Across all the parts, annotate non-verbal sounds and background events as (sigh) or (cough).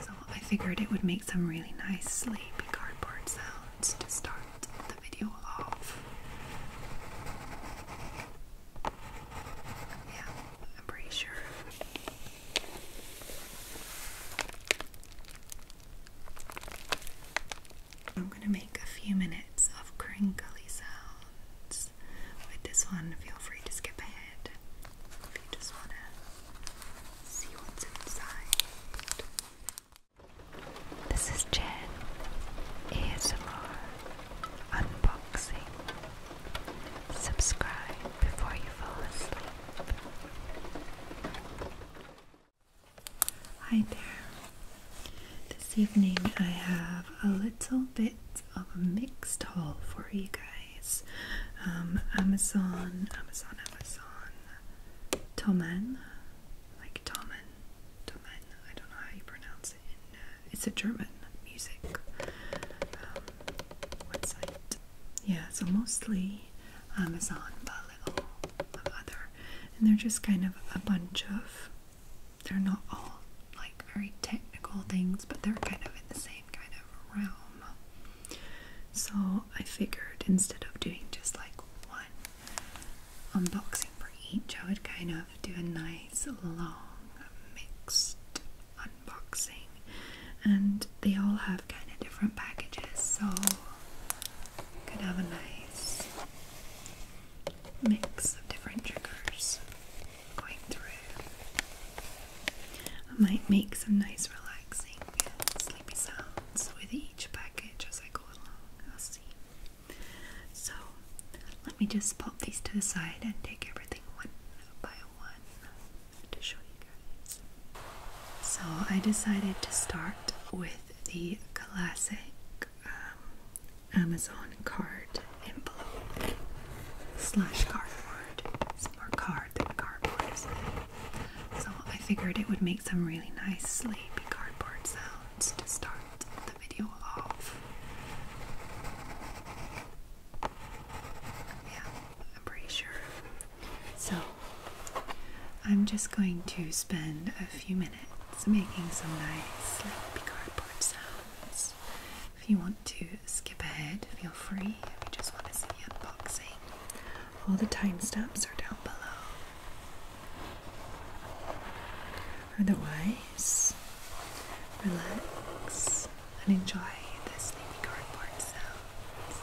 So I figured it would make some really nice sleepy cardboard sounds to start the video off. Yeah, I'm pretty sure. I'm going to make a few minutes of crinkly sounds. With this one, feel free to skip ahead if you just want to this is Jen ASMR Unboxing. Subscribe before you fall asleep. Hi there. This evening I have a little bit of a mixed haul for you guys. Um, Amazon, Amazon, Amazon, Tomen, like Tomen, Tomen. I don't know how you pronounce it. Uh, it's a German music um, website. Yeah, so mostly Amazon, but a little of other, and they're just kind of a bunch of. They're not all like very technical things, but they're kind of in the same kind of realm. So I figured instead of doing just like one unboxing for each, I would kind of do a nice long mixed unboxing. And they all have kind of different packages, so could have a nice mix of different triggers going through. I might make some nice relaxing sleepy sounds with each package as I go along. I'll see. So let me just pop these to the side and take everything one by one to show you guys. So I decided to start with the classic um, Amazon card envelope slash cardboard. It's card so I figured it would make some really nice sleepy cardboard sounds to start the video off. Yeah, I'm pretty sure. So I'm just going to spend a few minutes making some nice sleepy cardboard sounds. If you want to skip ahead, feel free. If you just want to see the unboxing, all the timestamps are down below. Otherwise, relax and enjoy the sleepy cardboard sounds.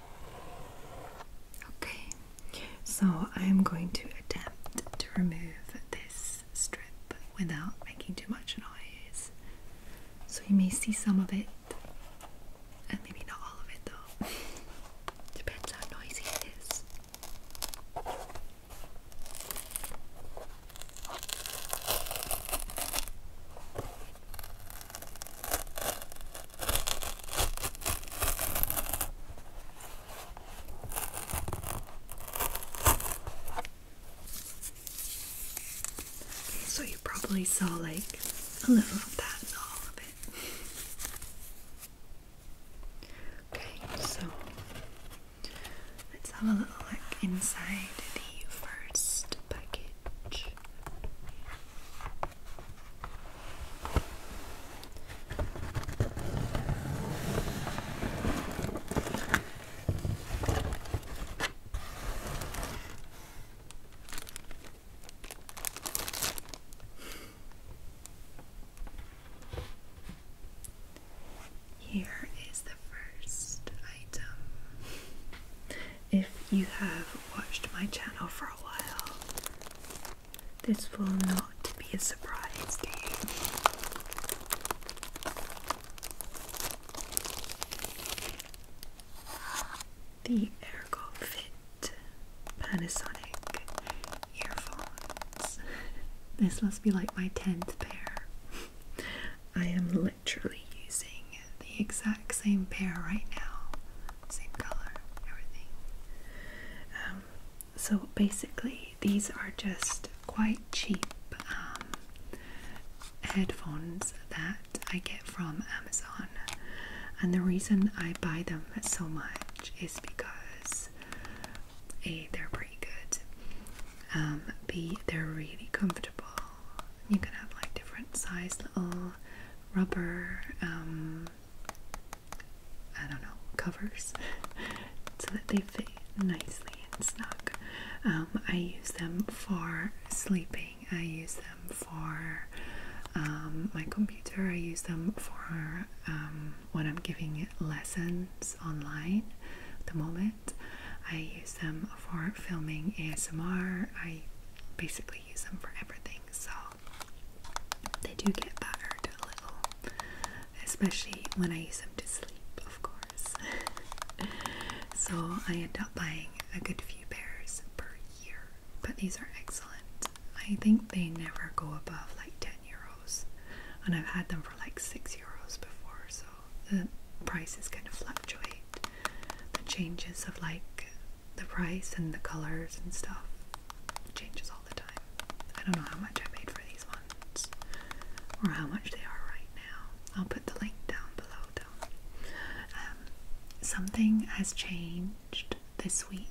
Okay, so I'm going to attempt to remove this strip without making too much noise. So you may see some of it, and maybe not all of it though. (laughs) Depends how noisy it is so you probably saw like a little of that and all of it. Okay, so let's have a little look inside the first package. Here is the first item. If you have watched my channel for a while, this will not be a surprise to you. The Ergo Fit Panasonic earphones. This must be like my 10th pair. I am literally using the exact same pair right now same color, everything. Um, so basically, these are just quite cheap um, headphones that I get from Amazon, and the reason I buy them so much is because a they're pretty good. Um, B they're really comfortable. You can have like different size little rubber I don't know, covers (laughs) so that they fit nicely and snug. Um, I use them for sleeping, I use them for um, my computer, I use them for um, when I'm giving lessons online the moment. I use them for filming ASMR. I basically use them for everything. So they do get battered a little, especially when I use them to sleep, of course. (laughs) so I end up buying a good few pairs per year, but these are excellent. I think they never go above like 10 euros, and I've had them for like 6 euros before, so the price is kind of fluctuate. The changes of like the price and the colors and stuff changes all the time. I don't know how much I made for these ones or how much they are right now. I'll put the link down below though. Um, something has changed this week.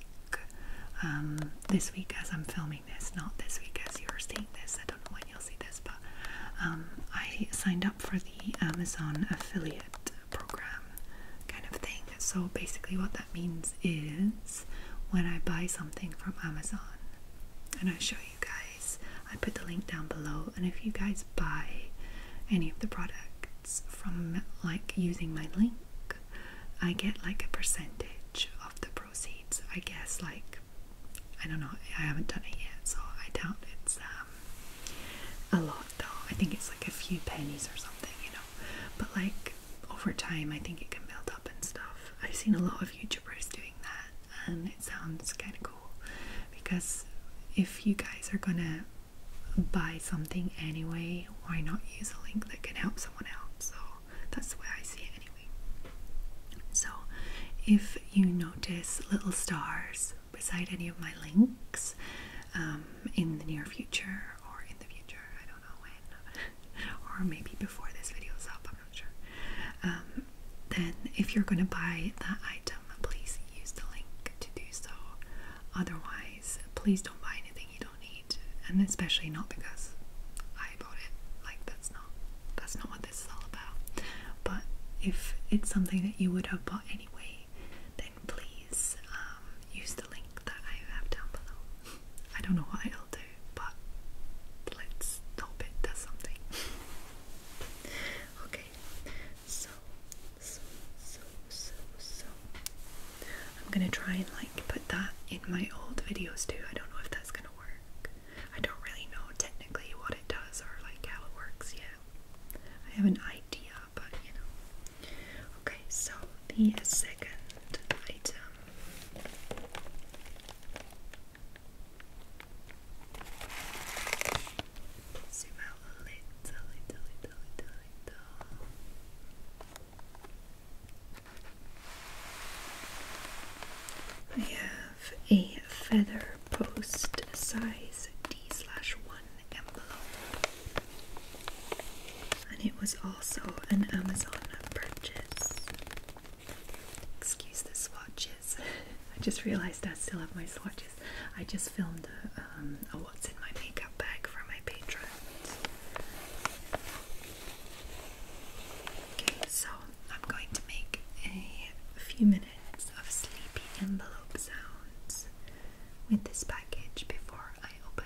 Um, this week as I'm filming this, not this week as you're seeing this. I don't know when you'll see this, but um, I signed up for the Amazon affiliate program kind of thing. So basically, what that means is when I buy something from Amazon, and I show you guys, I put the link down below. And if you guys buy any of the products from like using my link, I get like a percentage of the proceeds. I guess, like, I don't know, I haven't done it yet, so I doubt it's um, a lot though. I think it's like a few pennies or something, you know. But like over time, I think it can build up and stuff. I've seen a lot of YouTubers doing that, and it sounds kind of cool because if you guys are gonna buy something anyway, why not use a link that can help someone else? So that's the way I see it anyway. So if you notice little stars beside any of my links, um, in the near future or in the future, I don't know when, (laughs) or maybe before this video is up, I'm not sure. Um, then, if you're going to buy that item, please use the link to do so. Otherwise, please don't buy anything you don't need, and especially not because I bought it. Like that's not that's not what this is all about. But if it's something that you would have bought anyway, then please um, use the link that I have down below. I don't know what it'll do, but let's hope it does something. (laughs) okay, so, so, so, so, so. I'm gonna try and like put that in my old videos too. I don't know if that's gonna work. I don't really know technically what it does or like how it works yet. I have an idea, but you know. Okay, so the second item. a I have a feather post size D slash one. And it was also an Amazon purchase. Excuse the swatches. (laughs) I just realized I still have my swatches. I just filmed a, um, what's in my makeup bag for my Patreon. Okay, so I'm going to make a few minutes of sleepy envelope sounds with this package before I open.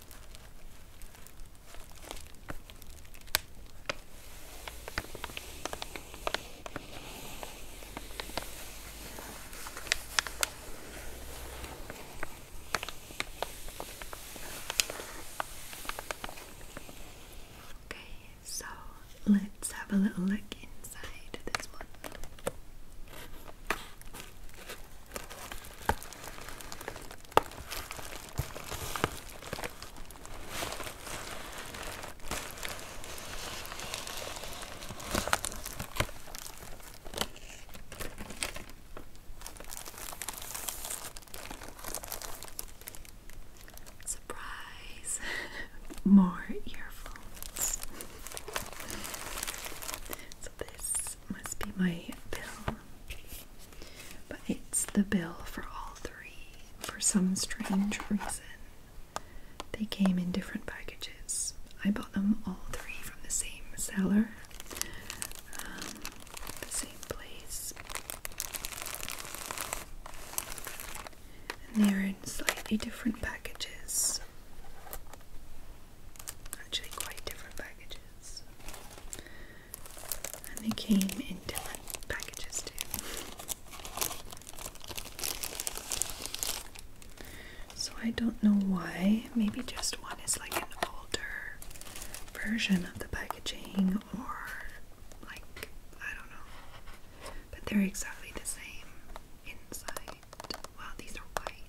Okay, so let's have a little look inside this one. Surprise! (laughs) More earphones. (laughs) so, this must be my pill. But it's the bill for all three. For some strange reason, they came in different packages. I bought them all three from the same seller, um, the same place. And they're in slightly different packages actually quite different packages. And they came in different packages too. So I don't know why. Maybe just one is like an older version of the packaging or like I don't know. But they're exactly the same inside. Well, these are white.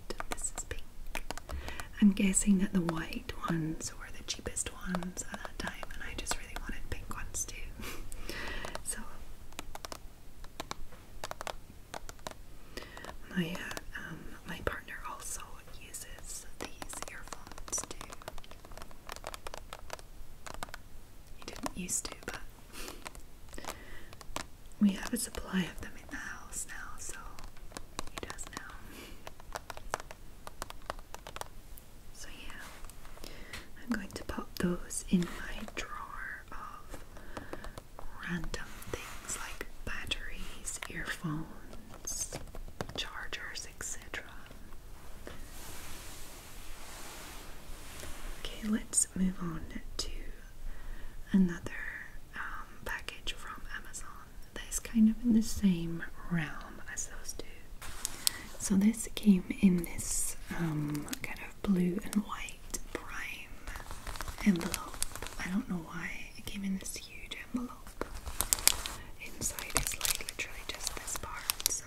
I'm guessing that the white ones were the cheapest ones at that time, and I just really wanted pink ones too. (laughs) so my uh, um, my partner also uses these earphones too. He didn't used to, but. (laughs) We have a supply of them in the house now, so he does now. So yeah, I'm going to pop those in my drawer of random things like batteries, earphones, chargers, etc. Okay, let's move on to another um, package from Amazon that is kind of in the same realm as those two. So this came in this um, kind of blue and white prime envelope. I don't know why it came in this huge envelope. Inside is like literally just this part, so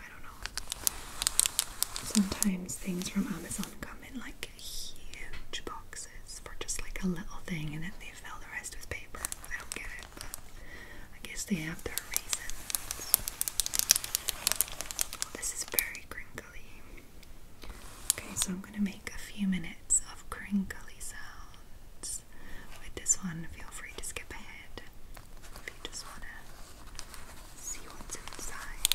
I don't know. Sometimes things from Amazon come in like huge boxes for just like a little thing and then they fill the rest with paper. I don't get it, but I guess they have their reasons. this is very crinkly. Okay, so I'm gonna make a few minutes of crinkly sounds. With this one, feel free to skip ahead if you just wanna see what's inside.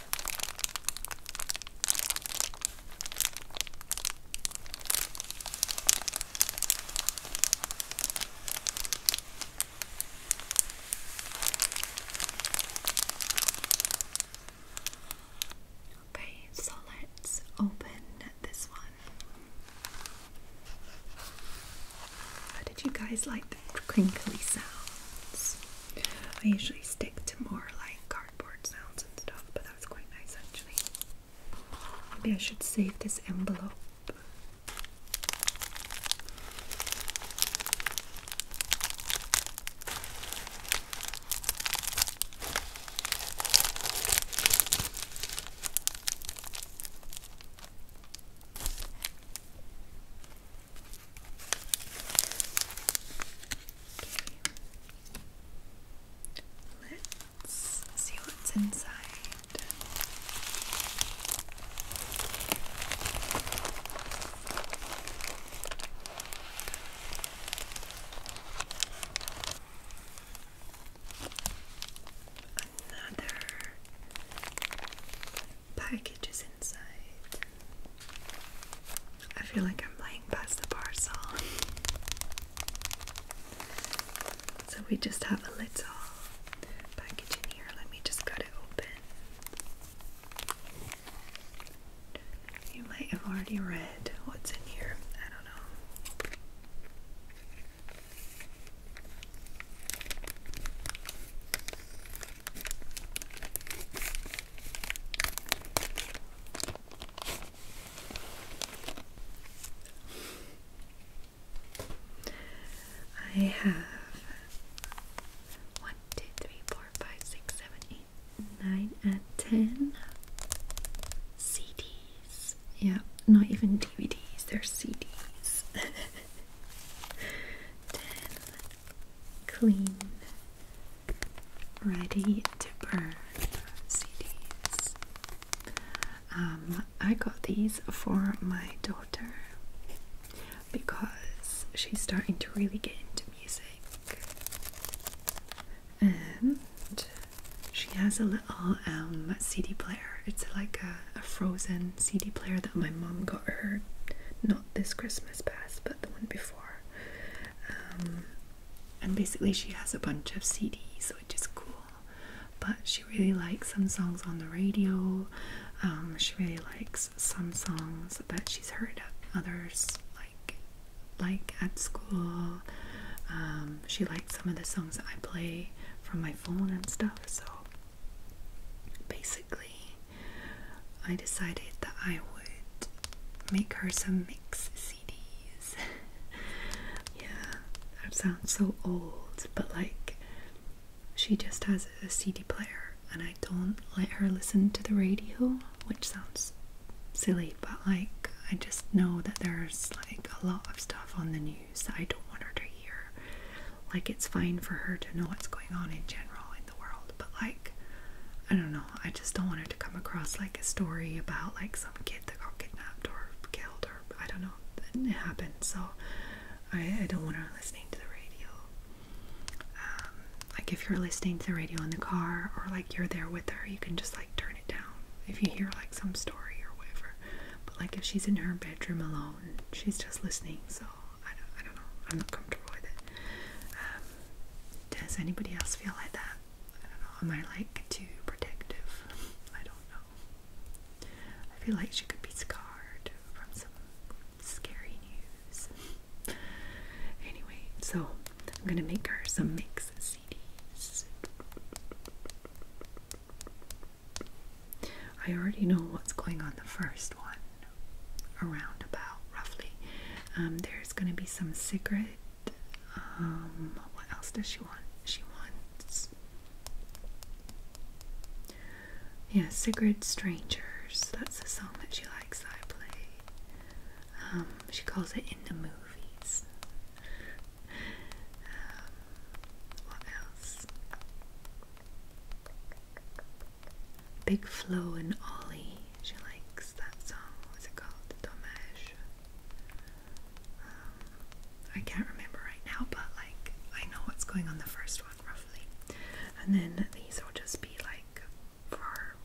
Okay, so let's open this one. How did you guys like the crinkly sounds? I usually stick to more like cardboard sounds and stuff, but that was quite nice actually. Maybe I should save this envelope. Let's see what's inside. Another package is inside. I feel like I'm laying past the parcel. So we just have a little package in here. Let me just cut it open. You might have already read what's in here. I don't know. I have one, two, three, four, five, six, seven, eight, nine, and ten CDs. Yeah, not even DVDs, they're CDs. (laughs) ten clean Ready to Burn CDs. Um, I got these for my daughter because she's starting to really get into music. And she has a little um, CD player. It's like a, a frozen CD player that my mom got her, not this Christmas past, but the one before. Um, and basically, she has a bunch of CDs, which is cool. But she really likes some songs on the radio. Um, she really likes some songs that she's heard others, like like at school. Um, she likes some of the songs that I play from my phone and stuff. So basically, I decided that I would make her some mix CDs. (laughs) yeah, that sounds so old, but like she just has a CD player and I don't let her listen to the radio, which sounds silly, but like I just know that there's like a lot of stuff on the news that I don't want her to hear. Like it's fine for her to know what's going on in general the world, but like, I don't know, I just don't want it to come across like a story about like some kid that got kidnapped or killed or I don't know, it happened, so I, I don't want her listening to the radio. Um, like, if you're listening to the radio in the car or like you're there with her, you can just like turn it down if you hear like some story or whatever. But like, if she's in her bedroom alone, she's just listening, so I don't, I don't know, I'm not comfortable with it. Um, does anybody else feel like that? I don't know. Am I like too protective? I don't know. I feel like she could be scarred from some scary news. anyway, so I'm gonna make her some mix CDs. I already know what's going on the first one around about roughly. Um, there's gonna be some cigarette. Um, what else does she want? She wants, yeah, cigarette strangers. That's the song that she likes. I play. Um, she calls it in the movies. what else? Big Flo and Ollie. She likes that song. What's it called? Dommage. Um, I can't remember right now, but like I know what's going on the first one roughly. And then these will just be like for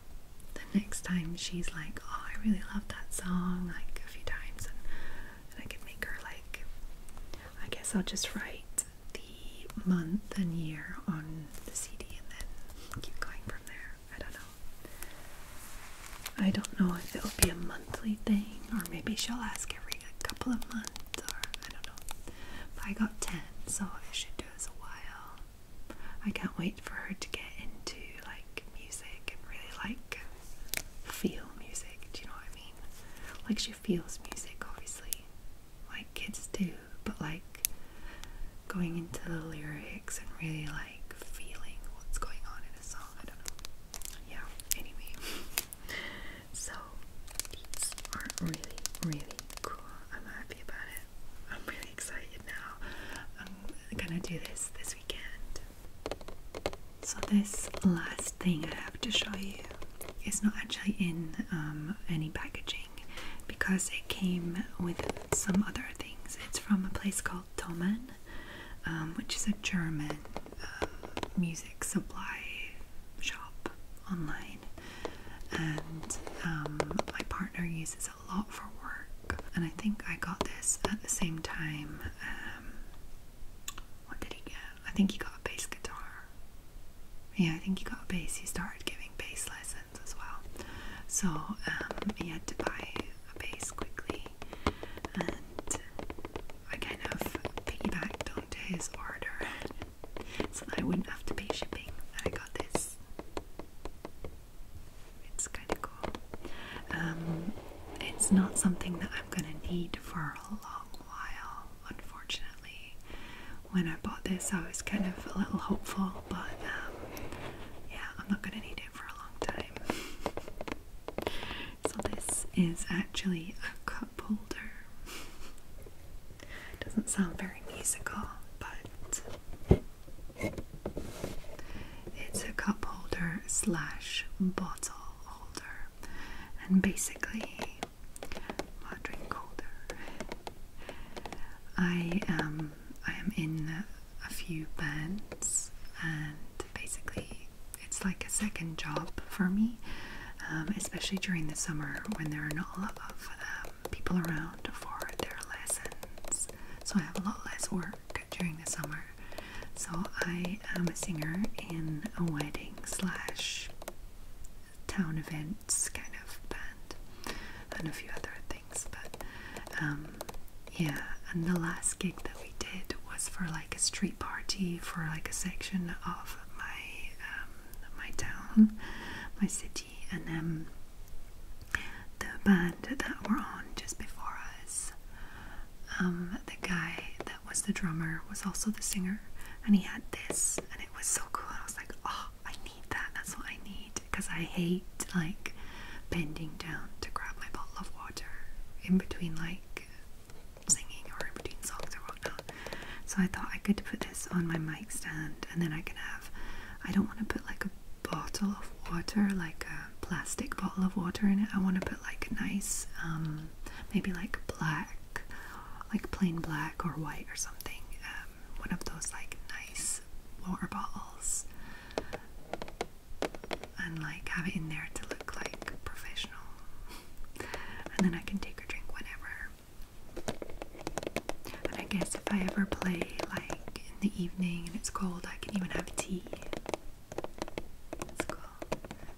the next time she's like, oh, I really love that song, like a few times, and, and I can make her like, I guess I'll just write the month and year on the CD and then keep going from there. I don't know. I don't know if it'll be a monthly thing or maybe she'll ask every couple of months or I don't know. But I got 10, so I should do this a while. I can't wait for her to get into like music and really like feel music. Do you know what I mean? Like she feels music obviously. Like kids do, but like going into the lyrics and really like feeling what's going on in a song. I don't know. Yeah, anyway. So these are really, really cool. I'm happy about it. I'm really excited now. I'm gonna do this this weekend. So this last thing I have to show you is not actually in um, any packaging because it came with some other things. It's from a place called Domen, um, which is a German uh, music supply shop online. And um, my partner uses a lot for work. And I think I got this at the same time. Um, what did he get? I think he got a bass guitar. Yeah, I think he got a bass. He started giving bass lessons as well. So he um, had to buy a base quickly, and I kind of piggybacked onto his order so that I wouldn't have to pay shipping. I got this. It's kind of cool. Um, it's not something that I'm gonna need for a long while, unfortunately. When I bought this, I was kind of a little hopeful but um, yeah, I'm not gonna need it for a long time. So this is actually a cup holder. Doesn't sound very musical, but it's a cup holder slash bottle holder, and basically my drink holder. I um I am in a few bands, and basically, it's like a second job for me, um, especially during the summer when there are not a lot of um, people around for their lessons. So, I have a lot less work during the summer. So, I am a singer in a wedding slash town events kind of band and a few other things but um, yeah. And the last gig that we did was for like a street party for like a section of my um, my town, my city, and then the band that were on just before us. Um, the guy that was the drummer was also the singer, and he had this, and it was so cool. I was like, oh, I need that. That's what I need because I hate like bending down to grab my bottle of water in between like singing or in between songs or whatnot. So I thought I could put this on my mic stand and then I can have. I don't want to put like a bottle of water, like a plastic bottle of water in it. I want to put like a nice, um, maybe like black, like plain black or white or something. Uh, um, one of those like nice water bottles and like have it in there to look like professional. and then I can take a drink whenever. And I guess if I ever play like in the evening and it's cold, I can even have tea. That's cool.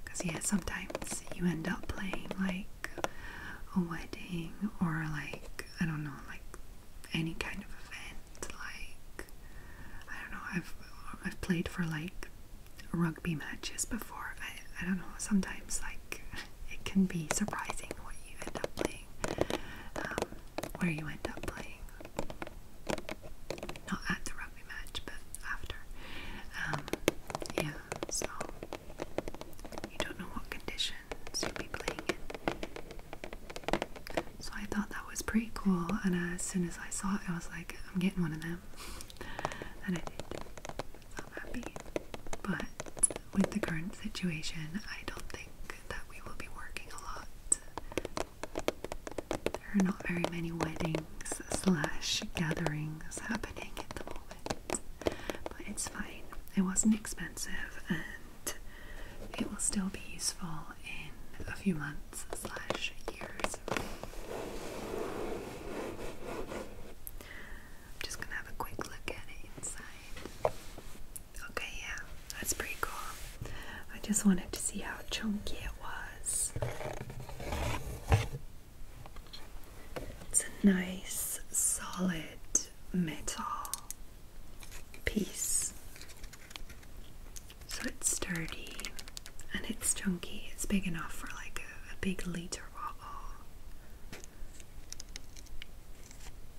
Because, yeah, sometimes you end up playing like a wedding or like, I don't know, like any kind of event. Like I don't know, I've I've played for like rugby matches before. I I don't know. Sometimes like (laughs) it can be surprising what you end up playing, um, where you end up playing. Not at the rugby match, but after. Um, yeah, so you don't know what condition so I thought that was pretty cool, and as soon as I saw it, I was like, I'm getting one of them. (laughs) And I did. So I'm happy. But with the current situation, I don't think that we will be working a lot. There are not very many weddings slash gatherings happening at the moment. But it's fine. It wasn't expensive and it will still be useful in a few months slash years. I'm just gonna have a quick look at it inside. Okay, yeah, that's pretty cool. I just wanted to see how chunky it was. It's a nice, solid metal piece. So it's sturdy and it's chunky. It's big enough for like a, big liter bottle.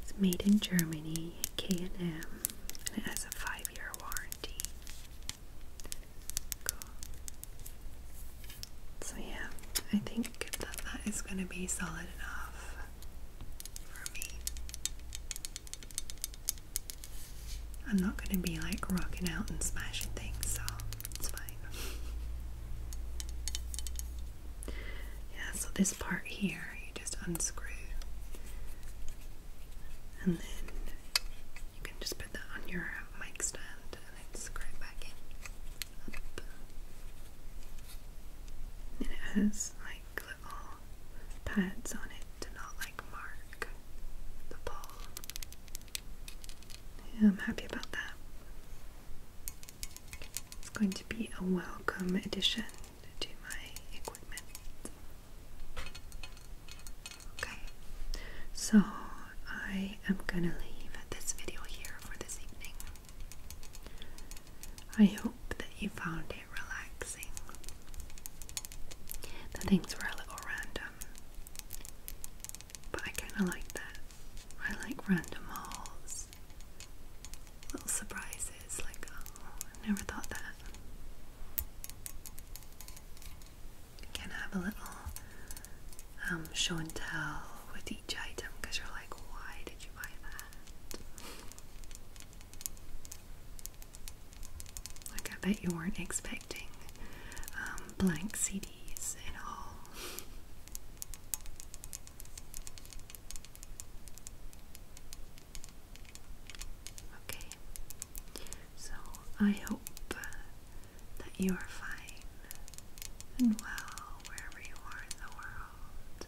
It's made in Germany, K&M, and it has a five-year warranty. So yeah, I think that that is going to be solid enough for me. I'm not going to be like rocking out and smashing things, so it's fine. yeah, so this part here, you just unscrew, and then you can just put that on your mic stand and screw it back in. And it has like pads on it to not like mark the ball. I'm happy about that. It's going to be a welcome addition to my equipment. Okay, so I am gonna leave this video here for this evening. I hope that you found it relaxing. The things were a little random, but I kind of like that. I like random hauls, little surprises, like, I oh, never thought that. You can have a little um, show and tell with each item because you're like, why did you buy that? Like, I bet you weren't expecting um, blank CDs at all. okay, so I hope that you are fine and well wherever you are in the world.